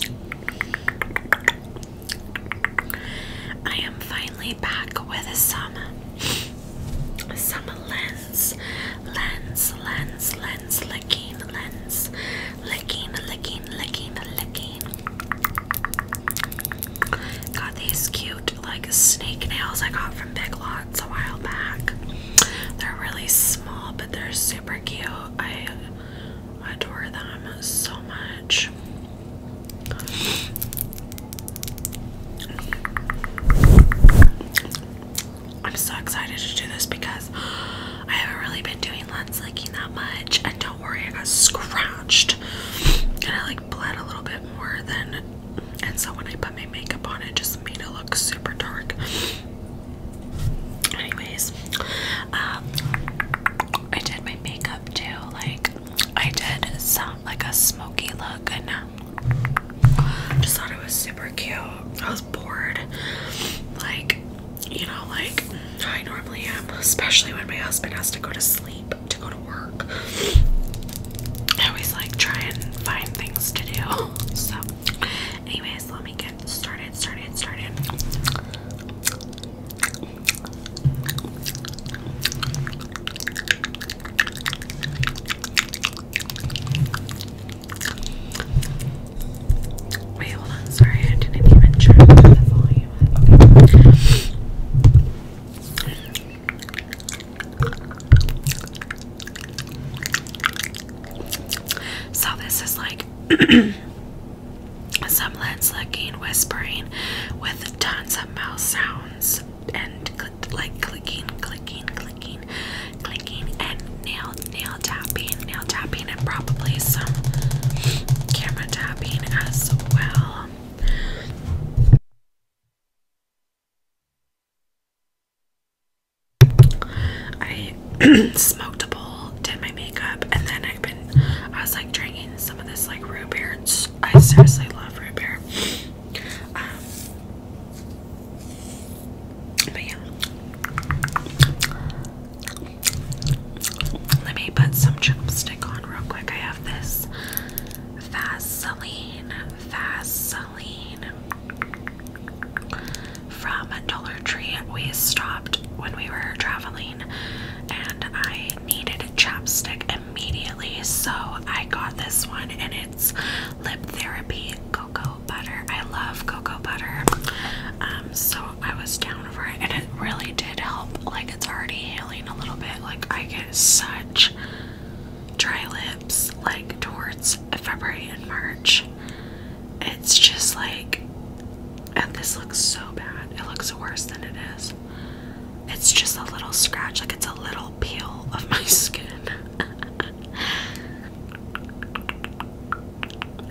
I am finally back with some some lens lens lens lens licking lens licking licking licking licking Got these cute like snake nails I got from Big Lots a while back. They're really small but they're super cute. I I adore them so much. I'm so excited to do this because I haven't really been doing lens licking that much. And don't worry, I got scratched. And I like bled a little bit more than. And so when I put my makeup on, it just made it look super dark. Anyways, um, I did my makeup too. Like, I did some like a smoky look, and uh, just thought it was super cute. I was bored, like, you know, like I normally am, especially when my husband has to go to sleep to go to work. I always like try and find things to do. So, anyways, let me get started, started, started. Wait, hold on. Sorry, I didn't even turn the volume. Okay. So this is like. Some led clicking, whispering, with tons of mouse sounds and like clicking, clicking, clicking, clicking, and nail nail tapping, nail tapping, and probably some camera tapping as well. I smoked a bowl, did my makeup, and then I've been, I was like drinking some of this like root beer. I seriously love root beer. Um, but yeah. Let me put some chapstick on real quick. I have this Vaseline, Vaseline from a Dollar Tree. We stopped when we were traveling and I needed a chapstick immediately, so I got this one and it's Lip Therapy Cocoa Butter. I love cocoa butter. Um, so I was down for it and it really did help. Like it's already healing a little bit. Like I get such dry lips like towards February and March. It's just like, and this looks so bad. It looks worse than it is. It's just a little scratch, like it's a little peel of my skin.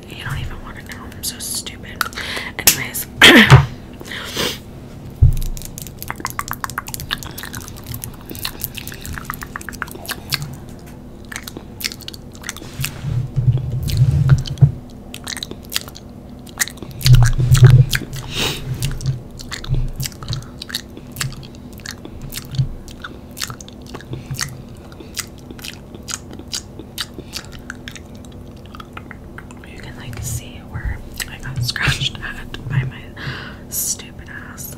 you don't even want to know. I'm so stupid. Anyways. You can like see where I got scratched at by my stupid ass.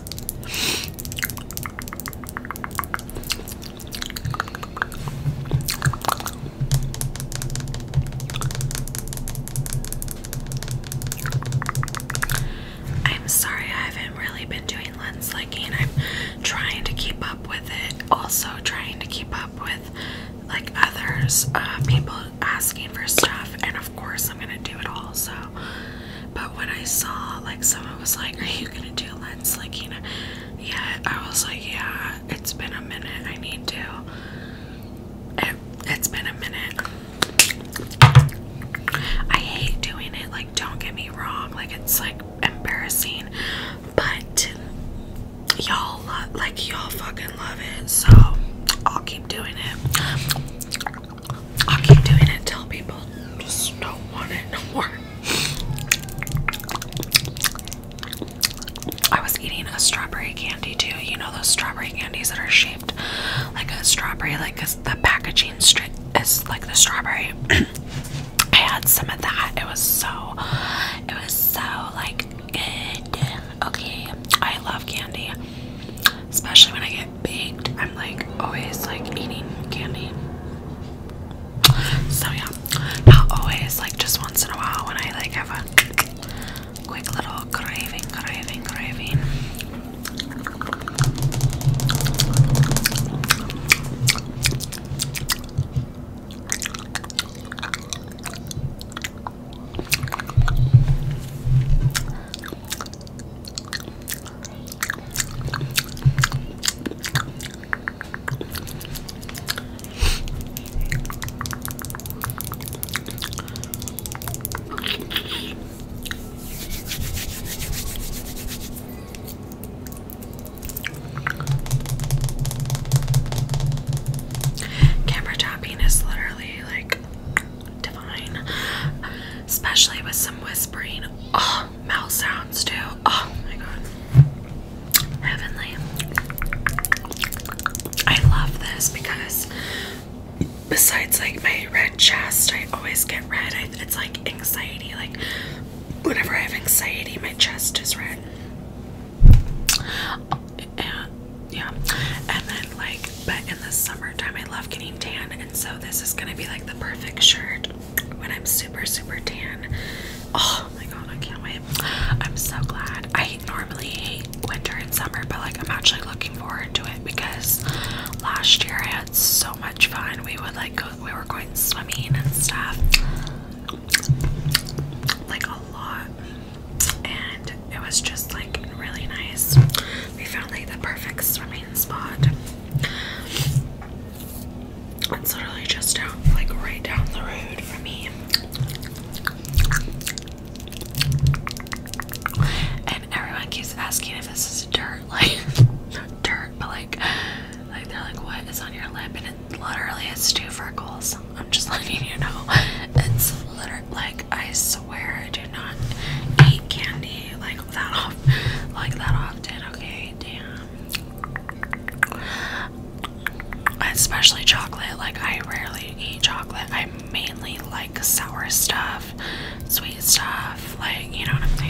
I'm sorry I haven't really been doing lens licking. I'm trying to keep up with it. Also trying to keep up with like others, uh, people asking for stuff, and of course I'm gonna do it all. So but when I saw, like, someone was like, Are you gonna do lens like, you know? Yeah, I was like, Yeah, it's been a minute. I need to. It, has been a minute. I hate doing it. Like, don't get me wrong. Like, it's like embarrassing. But y'all like, y'all fucking love it. So I'll keep doing it i keep doing it till people just don't want it no more. I was eating a strawberry candy too. You know those strawberry candies that are shaped like a strawberry, like cause the packaging is like the strawberry. I had some of that. It was so, it was so like good. Okay, I love candy, especially when I get baked, I'm like always like eating candy. So yeah, not always, like just once in a while when I like have a quick little craving, craving, craving. Camera tapping is literally like divine. Especially with some whispering. Oh, mouth sounds too. Oh my god. Heavenly. I love this because besides like my red chest, I always get red. it's like anxiety. Like whenever I have anxiety, my chest is red. And, yeah. And then like, but in the summertime, I love getting tan, and so this is gonna be like the perfect shirt when I'm super, super tan. Oh my god, I can't wait! I'm so glad. I normally hate winter and summer, but like, I'm actually looking forward to it because last year I had so much fun. We would like go, we were going swimming and stuff, like a lot, and it was just like really nice. We found like the perfect swimming spot. It's literally just down, like right down the road for me. And everyone keeps asking if this is dirt, like not dirt, but like, like they're like, what is on your lip? And it literally has two freckles. I'm just letting you know. It's literally like I swear I do not eat candy like that like that often, okay? Damn. Especially chocolate. Like I rarely eat chocolate. I mainly like sour stuff, sweet stuff, like you know what I'm saying?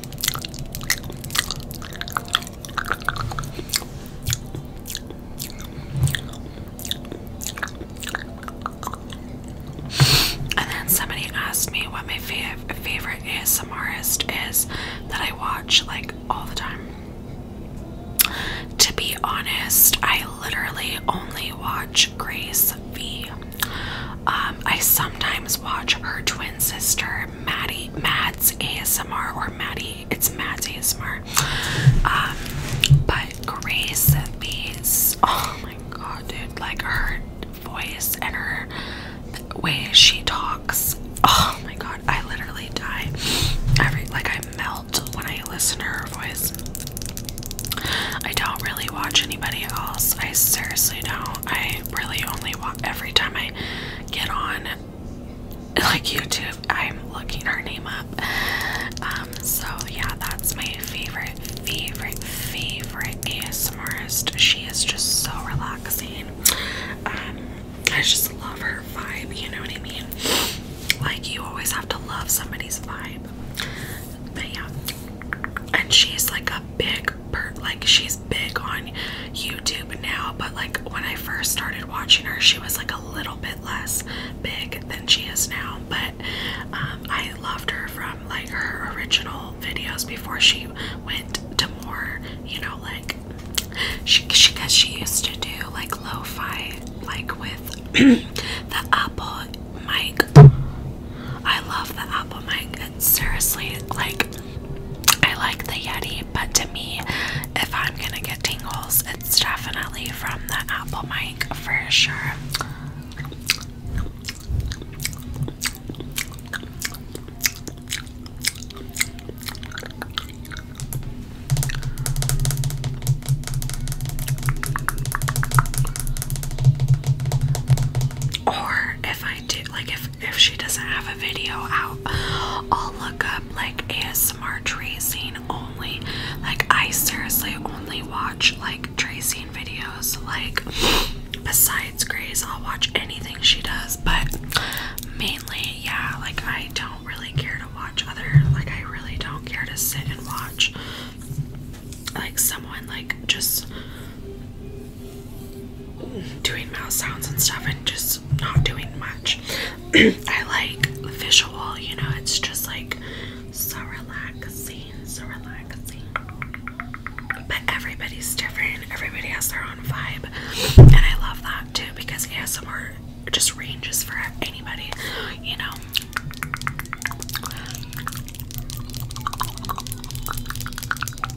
And then somebody asked me what my fav favorite ASMRist is that I watch like all the time. To be honest, I literally only watch Grace V. Um, I sometimes watch her twin sister for Maddie Mads ASMR or Maddie. It's Mads ASMR. Um, but Grace Bees. Oh my god, dude! Like her voice and her way she talks. Oh my god, I literally die. Every like I melt when I listen to her voice. I don't really watch anybody else. I seriously don't. I really only watch every time I get on like YouTube, I'm looking her name up. Um, so yeah, that's my favorite, favorite, favorite ASMRist. She is just so relaxing. Um, I just love her vibe, you know what I mean? Like, you always have to love somebody's vibe. But yeah. And she's like a big per like she's big on YouTube now, but like when I first started watching her, she was like a little bit less big than she is now. But um, I loved her from like her original videos before she went to more, you know, like she she because she used to do like lo-fi like with the Apple mic. I love the Apple mic. It's seriously like I like the Yeti, but to me, if I'm gonna get tingles, it's definitely from the Apple mic for sure. Or if I do, like, if if she doesn't have a video out, I'll look up like ASMR tracing only. Like I seriously only watch like tracing videos. Like besides Grace, I'll watch anything she does, but mainly yeah, like I don't really care to watch other like I really don't care to sit and watch like someone like just doing mouth sounds and stuff and just not doing much. I like visual, you know, it's just like so relaxing, so relaxing. But everybody's different, everybody has their own vibe, and I love that too because ASMR just ranges for anybody, you know.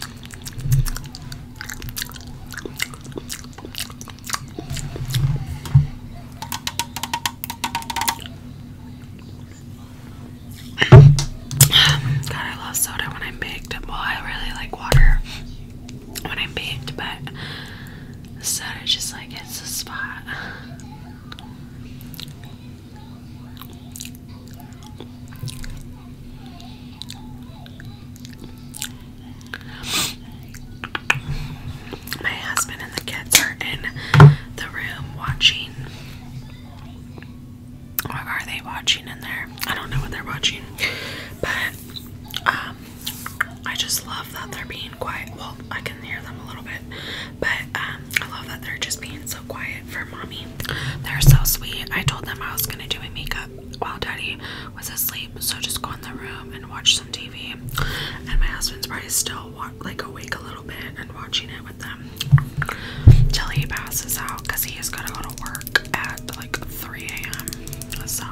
God, I love soda when I'm baked. Well, I really like water when I'm baked, but soda just like hits the spot. My husband and the kids are in the room watching. What are they watching in there? I don't know what they're watching, but um, I just love that they're being quiet. Well, I can hear them a little bit, but um, I love that they're just being so quiet for mommy. They're so sweet. I told them I was gonna do a makeup while Daddy was asleep, so just go in the room and watch some TV. And my husband's probably still like awake a little bit and watching it with them till he passes out because he is gonna go to work at like 3 a.m. So.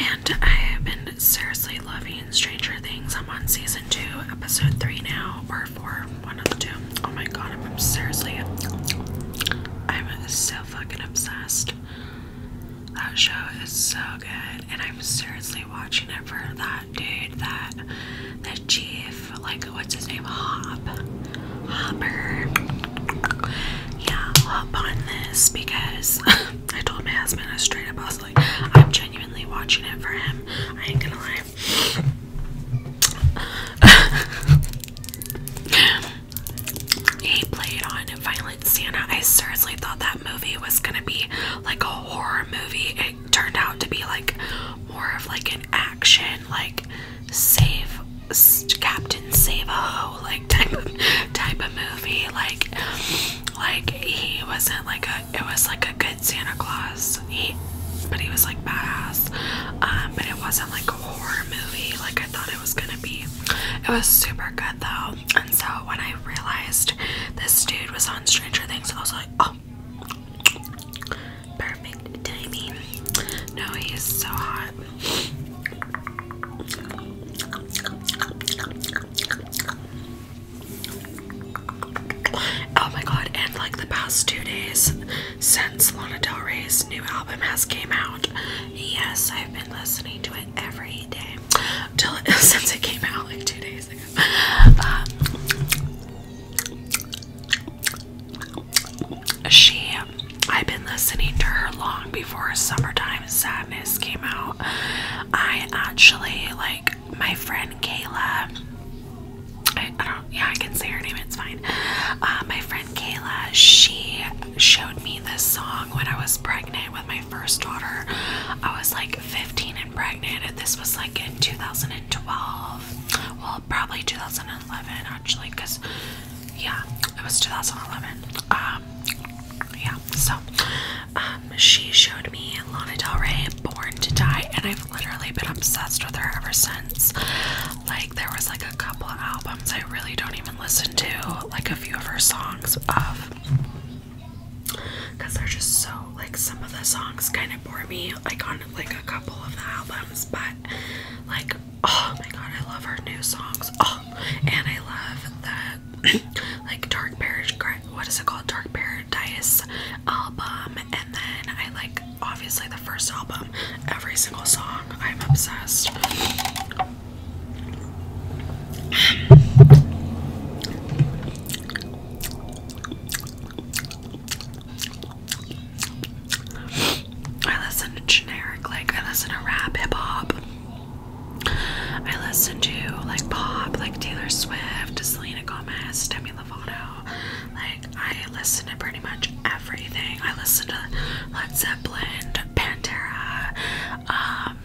And I have been seriously loving Stranger Things. I'm on season two, episode three now, or four, one of the two. Oh my god, I'm seriously. I'm so fucking obsessed. That show is so good, and I'm seriously watching it for that dude that the chief, like what's his name? Hop. Hopper. Yeah, hop on this because I told my husband I straight up I was like, I'm genuinely watching it for him. I ain't gonna lie. he played on Violent Santa. I seriously thought that movie was gonna be like a horror movie turned out to be like more of like an action, like save Captain Save a Ho, like type of type of movie. Like, like he wasn't like a. It was like a good Santa Claus. He, but he was like badass. Um, but it wasn't like a horror movie. Like I thought it was gonna be. It was super good though. And so when I realized this dude was on Stranger Things, I was like, oh Perfect timing. No, he is so hot. Oh my god, and like the past two days since Lana Del Rey's new album has came out. Yes, I've been listening to it every day. Till since it came out like two days ago. Uh, she, I've been listening to her long before Summertime Sadness came out. I actually, like, my friend Kayla. I, don't, yeah, I can say her name, it's fine. Uh, my friend Kayla, she showed me this song when I was pregnant with my first daughter. I was like 15 and pregnant, and this was like in 2012 well, probably 2011 actually, because yeah, it was 2011. Um, yeah, so um, she showed me Lana Del Rey Born to Die, and I've literally been obsessed with her ever since. Like, there was like a couple albums I really don't even listen to, like a few of her songs of because they're just so like some of the songs kind of bore me like on like a couple of the albums, but like oh my god, I love her new songs. Oh, and I love the like Dark Paradise. What is it called? Dark Paradise album. And then I like obviously the first album. Every single song, I'm obsessed. I listen to generic, like I listen to rap, hip hop. I listen to like pop, like Taylor Swift, Selena Gomez, Demi Lovato. Like I listen to pretty much everything. I listen to Led Zeppelin, Pantera, um,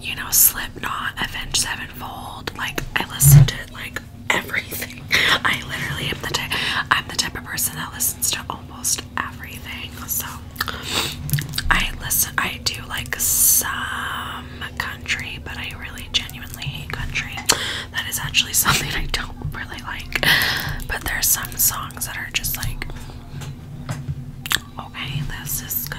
you know, Slipknot, Avenged Sevenfold. Like I listen to like everything. I literally am the type I'm the type of person that listens to almost everything. So I listen I do like some country, but I really genuinely hate country. That is actually something I don't really like. But there's some songs that are just like okay, this is good.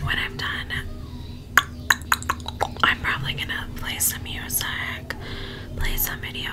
When I'm done, I'm probably gonna play some music, play some video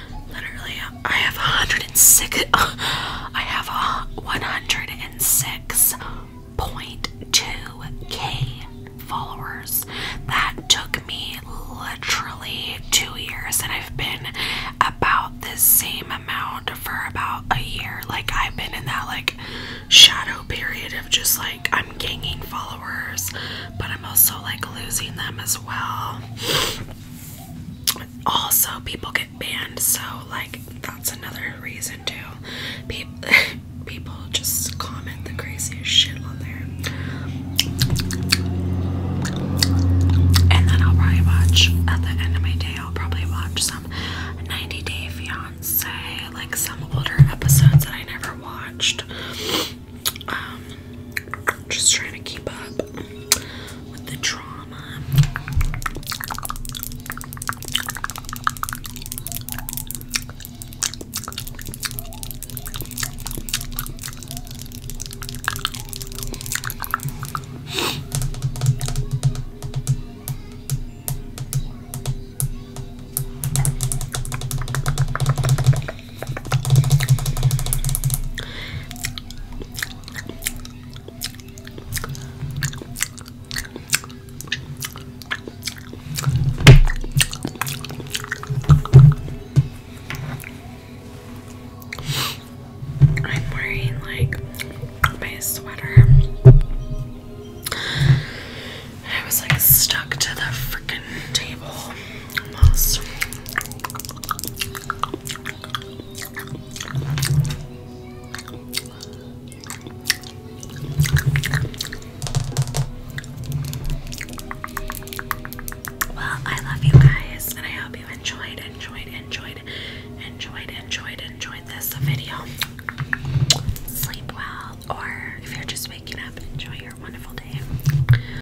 Literally, I have 106. I have 106.2k followers. That took me literally two years, and I've been about the same amount for about a year. Like I've been in that like shadow period of just like I'm gaining followers, but I'm also like losing them as well also people get banned so like that's another reason too people just comment the craziest shit on there and then i'll probably watch at the end of my day i'll probably watch some 90 day fiance like some older episodes that i never watched um, just trying to keep up with the drama. I'm wearing like my sweater. I was like stuck to the freaking table. Well, I love you guys, and I hope you enjoyed, enjoyed, enjoyed, enjoyed, enjoyed, enjoyed this video. Sleep well, or if you're just waking up, enjoy your wonderful day.